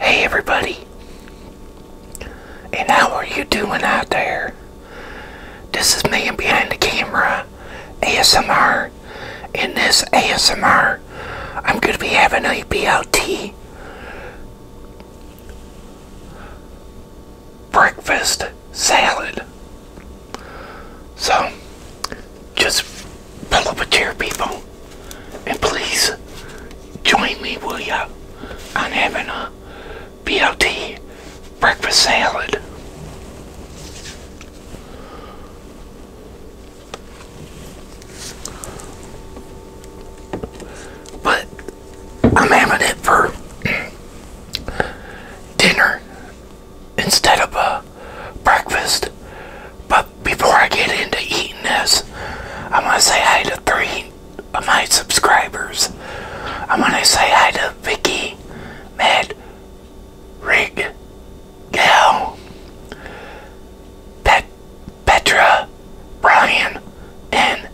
Hey everybody, and how are you doing out there? This is Man Behind the Camera ASMR. In this ASMR, I'm going to be having a BLT breakfast salad. So, just pull up a chair, people, and please join me, will ya, I'm having a BLT breakfast salad. But I'm having it for dinner instead of a breakfast. But before I get into eating this, I am going to say hi to three of my subscribers. I am going to say hi to Vicky, Matt, Rig, Gal, Pet, Petra, Brian, and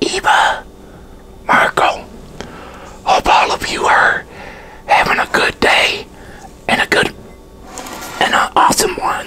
Eva, Marco. Hope all of you are having a good day and a good and an awesome one.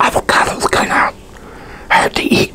Avocado's kind of hard to eat.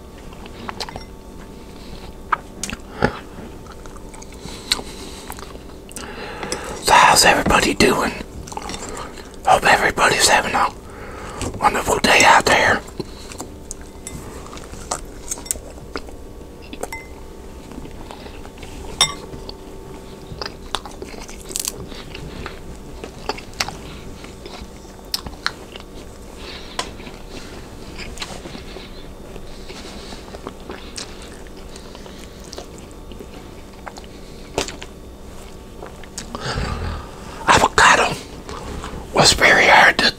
So how's everybody doing? Hope everybody's having a wonderful day out there. Avocado was very hard to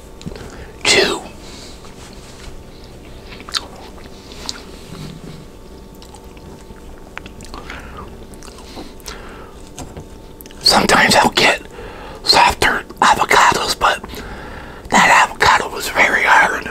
chew sometimes I'll get softer avocados, but that avocado was very hard.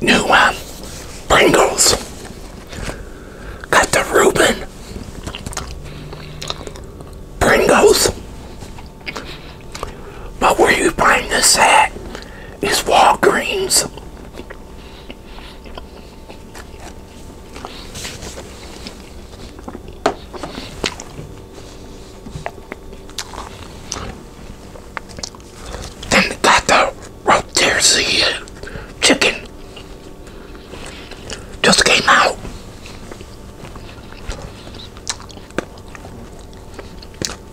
new um, Pringles. Got the Reuben Pringles. But where you find this at is Walgreens. Then got the rotisserie chicken. Just came out.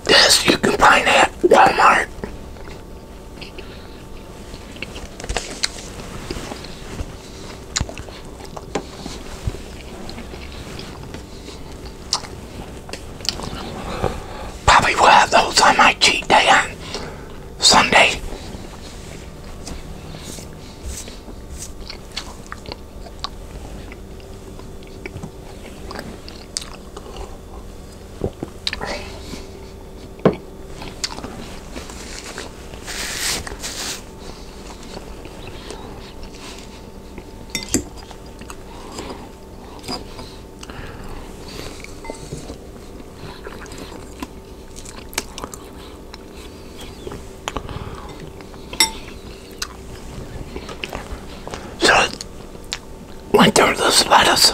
This you can find at Walmart. Probably will have whole time I cheat day on Sunday. So went through this lettuce.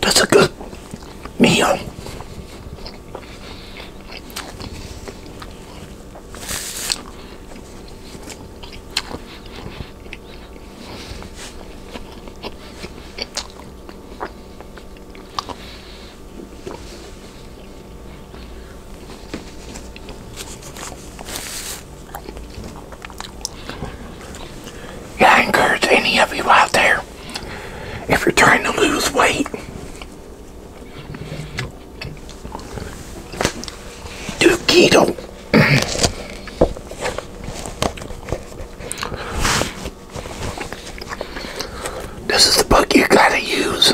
That's a good meal. Yeah, I encourage any of you out there, if you're trying to lose weight, do keto. this is the book you gotta use.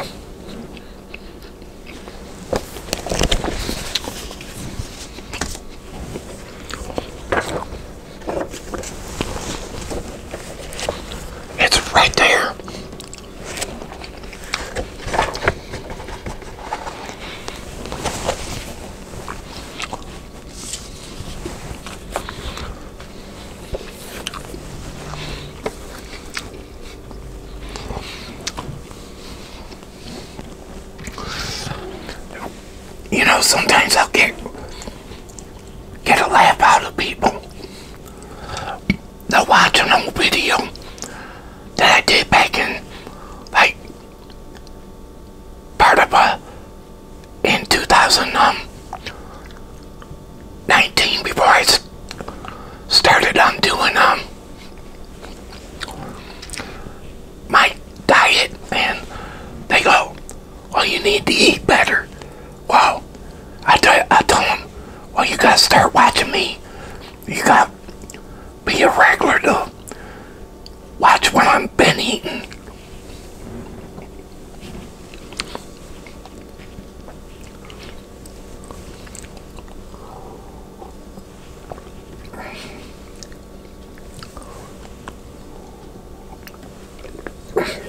It's right there. You know, sometimes I'll get get a laugh out of people. They're watching a video that I did back in like part of a in 2019 um, before I started on um, doing them. Um, my diet man, they go, well, oh, you need to eat better. Well, I, I tell them, well, you got to start watching me. You got to be a regular though. watch what i am been eating.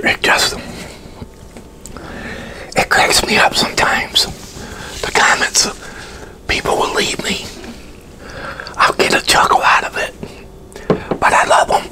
It just it cracks me up sometimes. The comments people will leave me. I'll get a chuckle out of it, but I love them.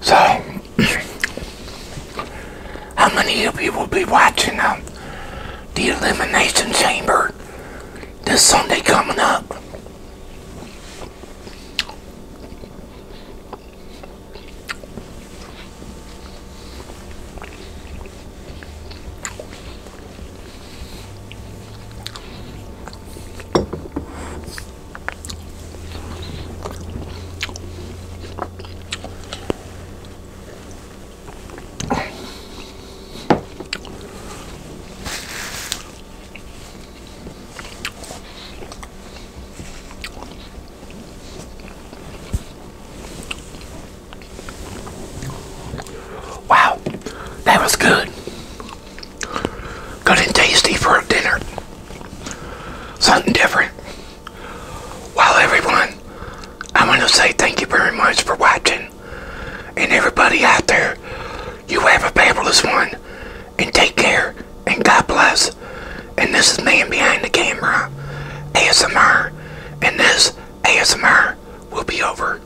So, how many of you will be watching uh, the Elimination Chamber this Sunday coming up? Wow, that was good. Good and tasty for a dinner. Something different. Well, everyone, I want to say thank you very much for watching. And everybody out there, you have a fabulous one. And take care. And God bless. And this is Man Behind the Camera, ASMR. And this ASMR will be over.